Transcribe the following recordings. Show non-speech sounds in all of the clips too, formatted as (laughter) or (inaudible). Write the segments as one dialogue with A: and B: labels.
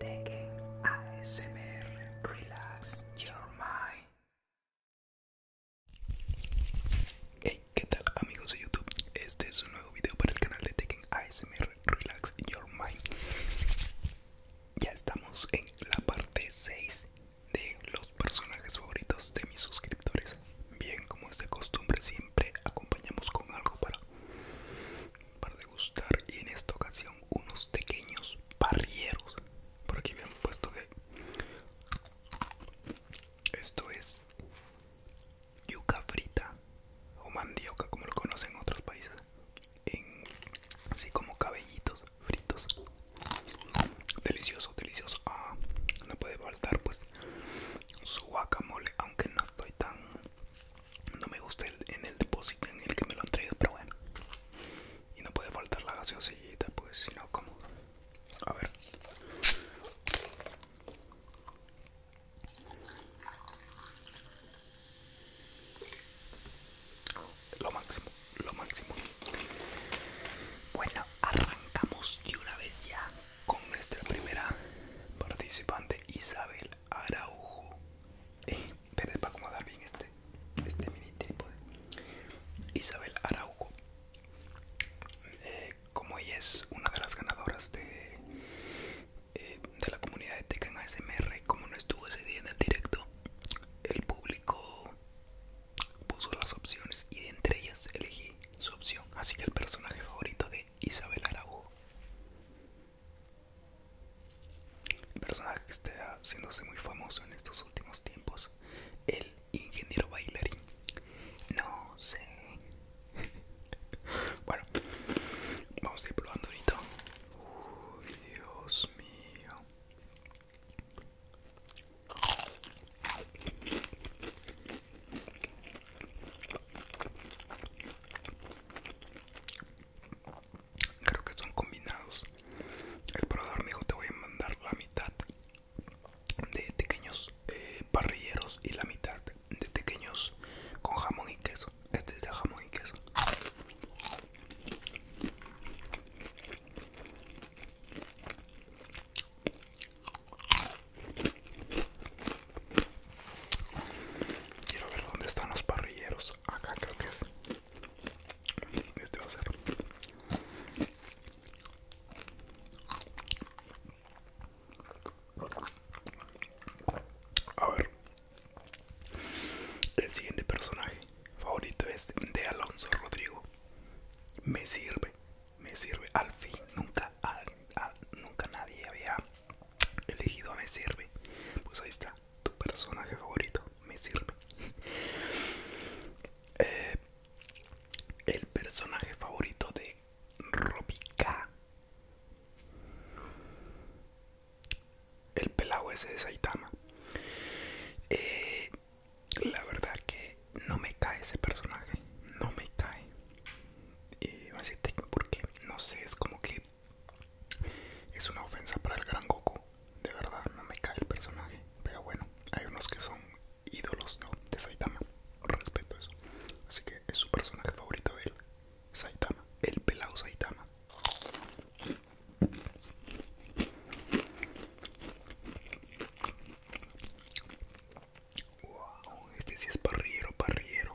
A: Tekken ASMR Relax Your Mind. Hey, ¿qué tal amigos de YouTube? Este es un nuevo video para el canal de Tekken ASMR Relax Your Mind. Ya estamos en la parte 6 de los personajes favoritos de mis suscriptores. Bien, como es de costumbre, siempre acompañamos con algo para para degustar y en esta ocasión unos pequeños parrieros por aquí me han puesto de esto es yuca frita o mandioca como lo conocen en otros países así como cabellitos fritos delicioso delicioso ah, no puede faltar pues su guacamole aunque no estoy tan no me gusta el, en el depósito en el que me lo han traído, pero bueno. Y no puede faltar la gaseosillita, pues si no, como. A ver. Lo máximo, lo máximo. Bueno, arrancamos de una vez ya con nuestra primera participante, Isabel. Araujo. Eh, pero para acomodar bien este, este mini trípode. Isabel Araujo. Eh, como ella es una de las ganadoras de, eh, de la comunidad de en ASMR, como no estuvo ese día en el directo, el público puso las opciones y de entre ellas elegí su opción. Así que el personaje favorito de Isabel Araujo el personaje que está haciéndose muy famoso en estos últimos tiempos, el ingeniero bailarín. No sé. (laughs) bueno, vamos a ir probando ahorita. Uy, Dios mío. Creo que son combinados. El proveedor me dijo te voy a mandar la mitad de pequeños eh, parrilleros y la mitad de pequeños con jamón y queso. Este es de jamón y queso. Quiero ver dónde están los parrilleros. Acá creo que es. Este va a ser. A ver. El siguiente personaje favorito es de Alonso Rodrigo. Me sirve, me sirve. Al fin, nunca, nunca nadie había elegido me sirve. Pues ahí está, tu personaje favorito me sirve. (laughs) Eh, el personaje favorito de Robica. El pelado ese de Saitama. Eh, la verdad que no me cae ese personaje. No me cae. Y voy a porque no sé, es como que es una ofensa para el gran Goku. De verdad, no me cae el personaje. Pero bueno, hay unos que son ídolos ¿no? de Saitama. Respeto eso. Así que es su personaje favorito de él. Saitama. El pelado Saitama. Wow, este sí es parriero, parriero.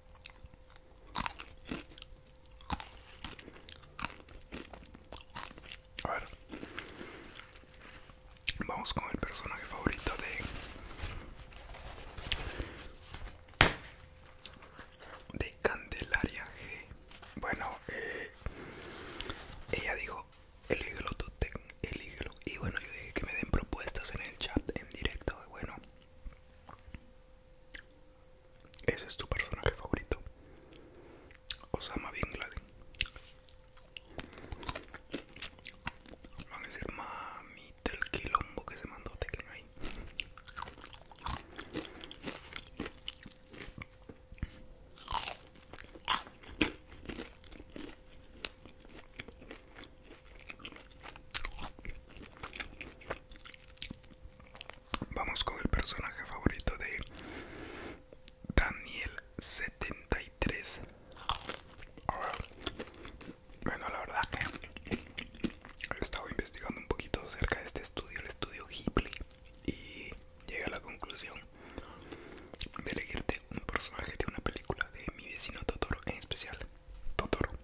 A: A ver, vamos con el personaje favorito de Candelaria G. Bueno, eh, ella dijo elígelo tú, elígelo. Y bueno, yo dije que me den propuestas en el chat en directo. Bueno, ese es tu personaje favorito. Osama Bin Laden. Van a decir, mami, del quilombo que se mandó, te quedan ahí. Vamos con el personaje favorito de Daniel 73. Bueno, la verdad que he estado investigando un poquito acerca de este estudio, el estudio Ghibli, y llegué a la conclusión de elegirte un personaje de una película de mi vecino Totoro, en especial Totoro.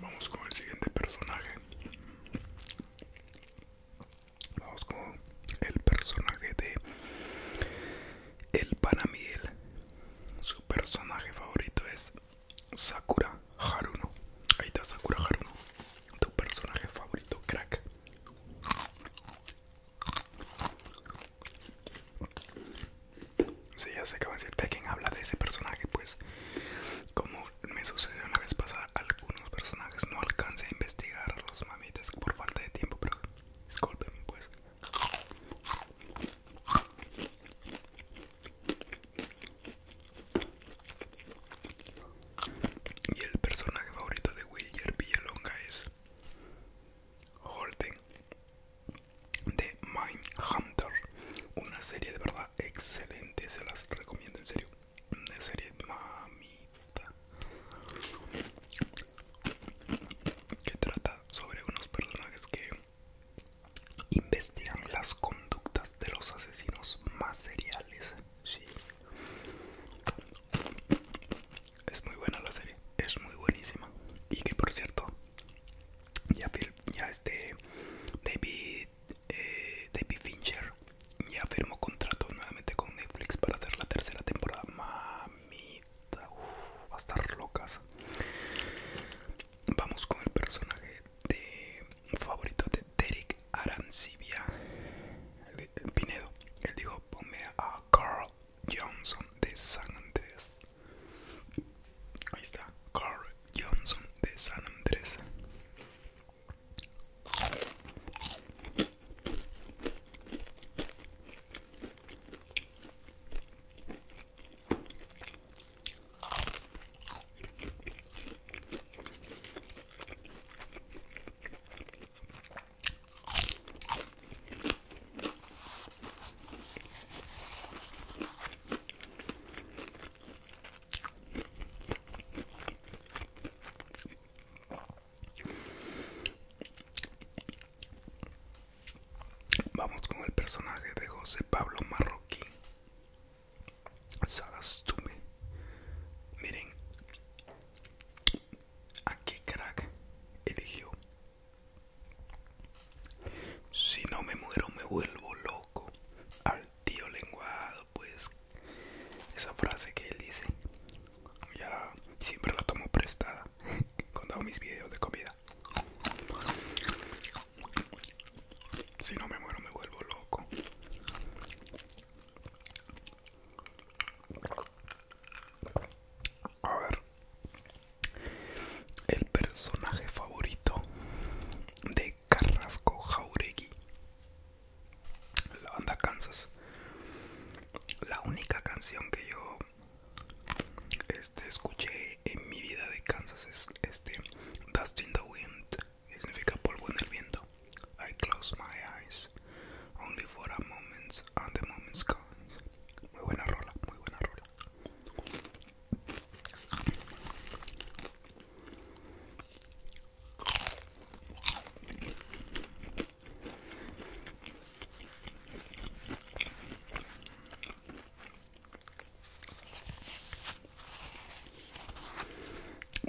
A: Vamos con el siguiente personaje. Vamos con el personaje de El Panamiel. Su personaje favorito es Sakura Haruno. Ahí está Sakura Haruno tu personaje favorito, crack. Si ya sé que va a decir de quién habla de ese personaje, pues como me sucedió una vez pasada, algunos personajes no alcancé a investigar los mamitas por falta de tiempo, pero discúlpenme pues. Y el personaje favorito de William Villalonga es Holden de Mindhunter. Una serie de verdad excelente, se las recomiendo en serio. Una serie mamita que trata sobre unos personajes que investigan las conductas de los asesinos más seriales sí. Es muy buena la serie, es muy buenísima. Y que por cierto, ya, ya este David, eh, David Fincher ya firmó contrato nuevamente con Netflix para hacer la tercera temporada. Mamita, va a estar locas. Vamos con el personaje de favorito de Derek Arancibia Pinedo. Él dijo, ponme a Carl Johnson de San Andrés. Ahí está, Carl Johnson de San Andrés. Vamos con el personaje de José Pablo Marroquín me Miren a qué crack eligió. Si no me muero, me vuelvo loco. Al tío lenguado, pues esa frase que él dice, ya siempre la tomo prestada (laughs) cuando hago mis videos de comida. Si no me muero, me vuelvo loco. A ver. El personaje favorito de Carrasco Jauregui. La banda Kansas. La única canción que yo este, escuché en mi vida de Kansas es este Dust in the Wind ¿Qué significa polvo en el viento. I close my eyes only for a moment and the moment's gone. Muy buena rola, muy buena rola.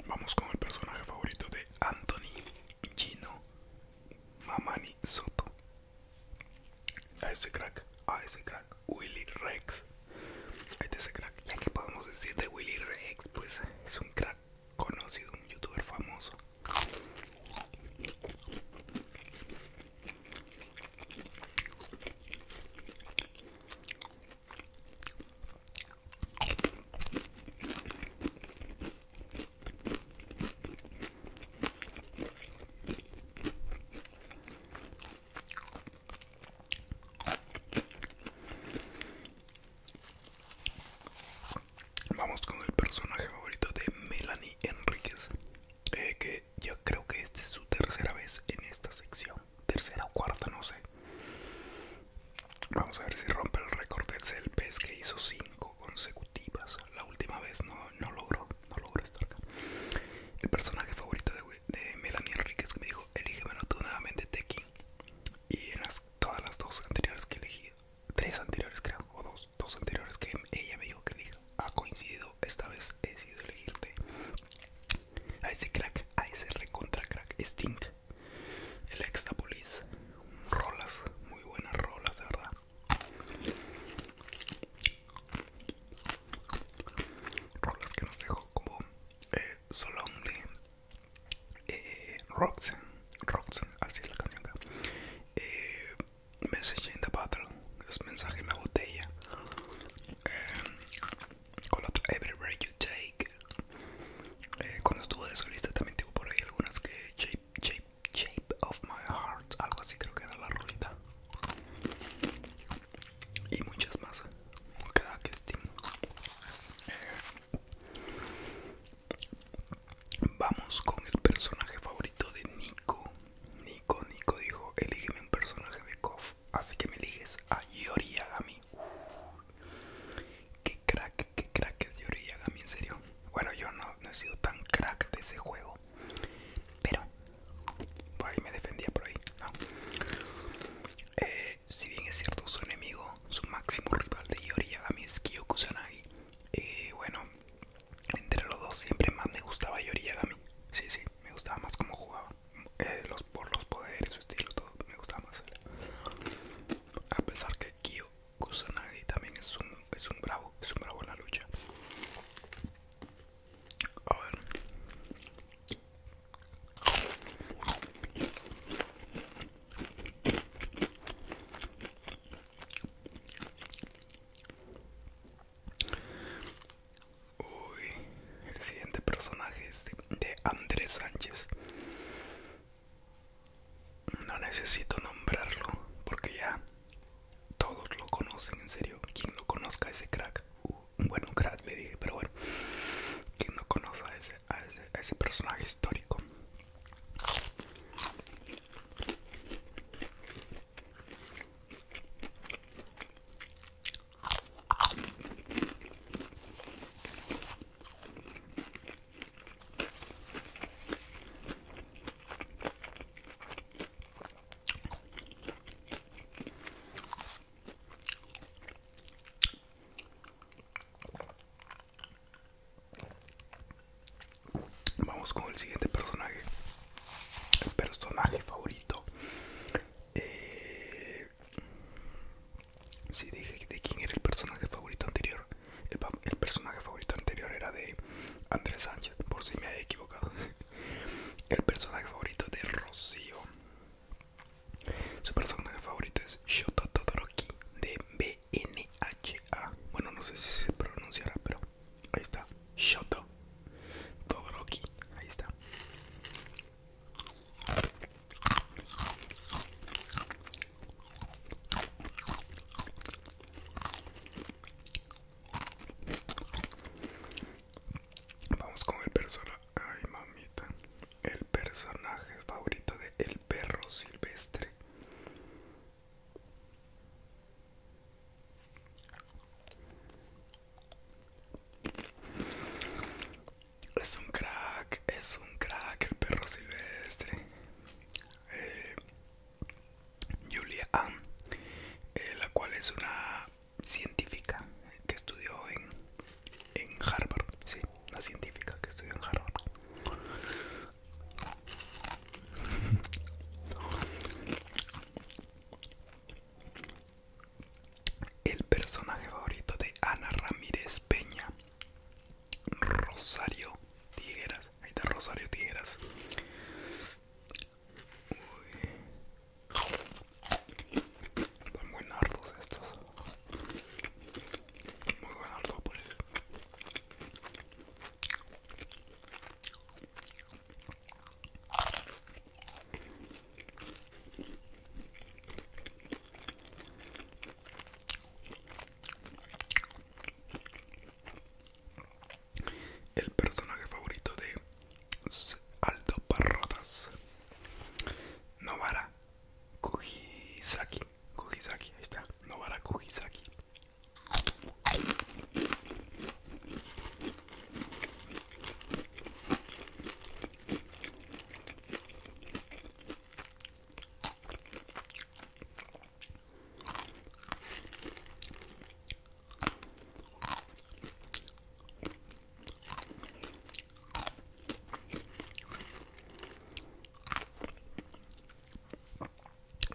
A: Vamos con el personaje favorito de Anthony Gino Mamani Soto. A ese crack, a ese crack, Willy Rex. A este ese crack, ya que podemos decir de Willy Rex, pues es un crack conocido, un youtuber famoso. Vamos con el personaje favorito de Melanie Enríquez, eh, que yo creo que es su tercera vez en esta sección, tercera o cuarta, no sé. Vamos a ver si rompe el récord del el pez que hizo 5 consecutivas. La última vez no, no logró, no logró estar acá. El personaje favorito de, de Melanie Enriquez me dijo, elige tú nuevamente, Tekin. Y en las, todas las dos anteriores que elegí, tres anteriores creo, o dos, dos anteriores que ella me dijo que elija, ha coincidido, esta vez he decidido elegirte. A ese crack, a ese recontra crack, Sting el Extapolis, rolas, muy buenas rolas, de verdad. Rolas que nos dejó como eh, So Lonely, eh, así es la canción acá. Eh, Message in the Battle, es mensaje en la botella. Eh, con la otra, Everywhere You Take. Eh, cuando estuvo de solista también tuvo por ahí algunas que Shape, Shape, of My Heart, algo así creo que era la rolita. Y muchas más. que eh, vamos con el personaje favorito de Nico. Nico, Nico dijo, elígeme un personaje de KOF. Así que me eliges a Yori Yagami crack, qué crack es en serio. Bueno, yo no, he sido tan crack de ese juego, pero por ahí me defendía, por ahí. Eh, si bien es cierto, su enemigo, su máximo rival de Yori es Kyoku eh, bueno, entre los dos siempre más me gustaba Yori Sí, sí, me gustaba más cómo jugaba. Eh, los, por los poderes, su estilo, todo me gustaba más a pesar que Kyo Kusanagi también es un, es un bravo, es un bravo en la lucha. A ver. el siguiente personaje es de Andrés Sánchez. No necesito nombrarlo porque ya todos lo conocen, en serio. Quien no conozca a ese crack, un uh, bueno, crack le dije, pero bueno, quien no conozca a ese personaje histórico. Vamos con el siguiente personaje. personaje favorito. Eh, Sí, dije de quién era el personaje favorito anterior. El, personaje favorito anterior era de Andrés Sánchez, por si me había equivocado. (laughs) El personaje favorito de Rocío. Su personaje favorito es Shoto Todoroki de BNHA. Bueno, no sé si se pronunciará, pero ahí está. Shoto Todoroki, ahí está. Vamos con el personaje. Ay, mamita. El personaje favorito de El perro silvestre. Es un crack, es un crack el perro silvestre. Eh, Julia Ann, eh, la cual es una científica que estudió en, en Harvard. Sí, una científica que estudió en Harvard. El personaje favorito de Ana Ramírez Peña Rosario Tijeras. Ahí está Rosario Tijeras. Están muy nardos estos. Muy buen nardo el personaje favorito de Alto Parrotas Novara Kugisaki Kugisaki, ahí está Novara Kugisaki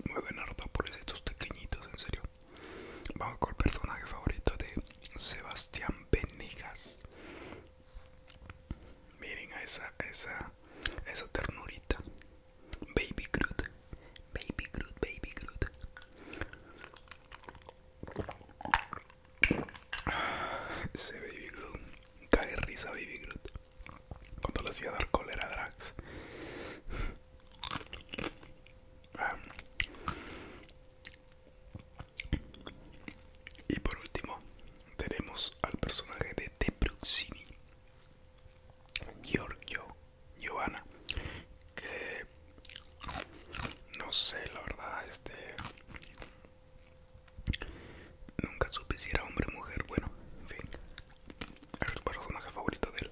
A: muy buena nota por estos pequeñitos, en serio. Vamos con el personaje favorito de Sebastián Benegas. Miren a esa, esa, esa ternurita. Baby Groot. Baby Groot, Baby Groot. (sighs) Ese Baby Groot. Cae risa Baby Groot. Cuando le hacía dar cólera a Drax. Ah. Y por último, tenemos al personaje de The Bruxini, Giorgio Giovanna, que no sé, la verdad, este nunca supe si era hombre o mujer. Bueno, en fin, es el personaje favorito de él.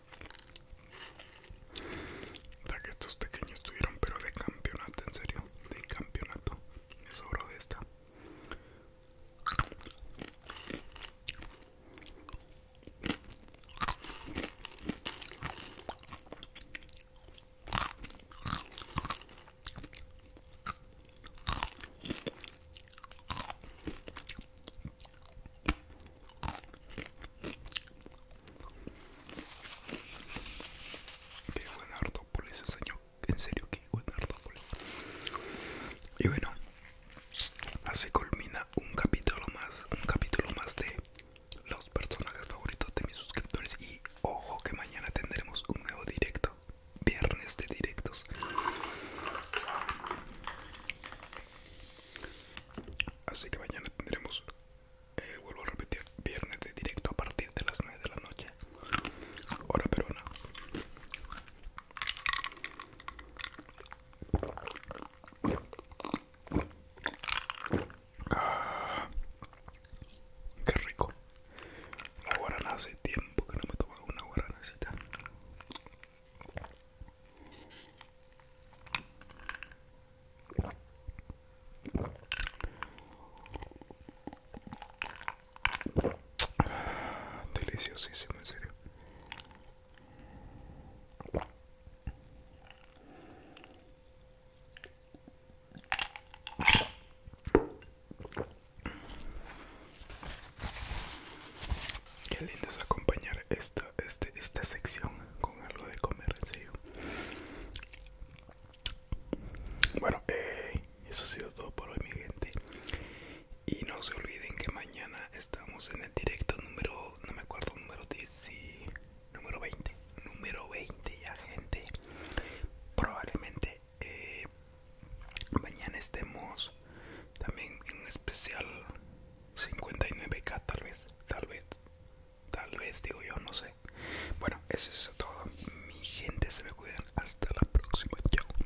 A: Ya que estos pequeños tuvieron, pero de campeonato, en serio, de campeonato. eso oro de esta. Qué buen Artópolis, señor. En serio, que buen Y bueno, así culmina un capítulo más. Un capítulo más de los personajes favoritos de mis suscriptores. Y ojo, que mañana tendremos un nuevo directo. Viernes de directos. Así que mañana tendremos, eh, vuelvo a repetir, viernes de directo a partir de las 9 de la noche, Ahora peruana. Ah, qué rico. La guarana hace tiempo que no me he una guaranacita. Deliciosísimo, en serio. Qué lindo es acompañar esta, este, esta sección con algo de comer, en Bueno, eh, eso ha sido todo por hoy, mi gente. Y no se olviden que mañana estamos en el directo número, no me acuerdo, número 10 y número 20. Número 20 ya, gente. Probablemente eh, mañana estemos también en un especial 59k tal vez, tal vez, tal vez digo yo, no sé. Bueno, eso es todo. Mi gente se me cuidan. Hasta la próxima. Chao.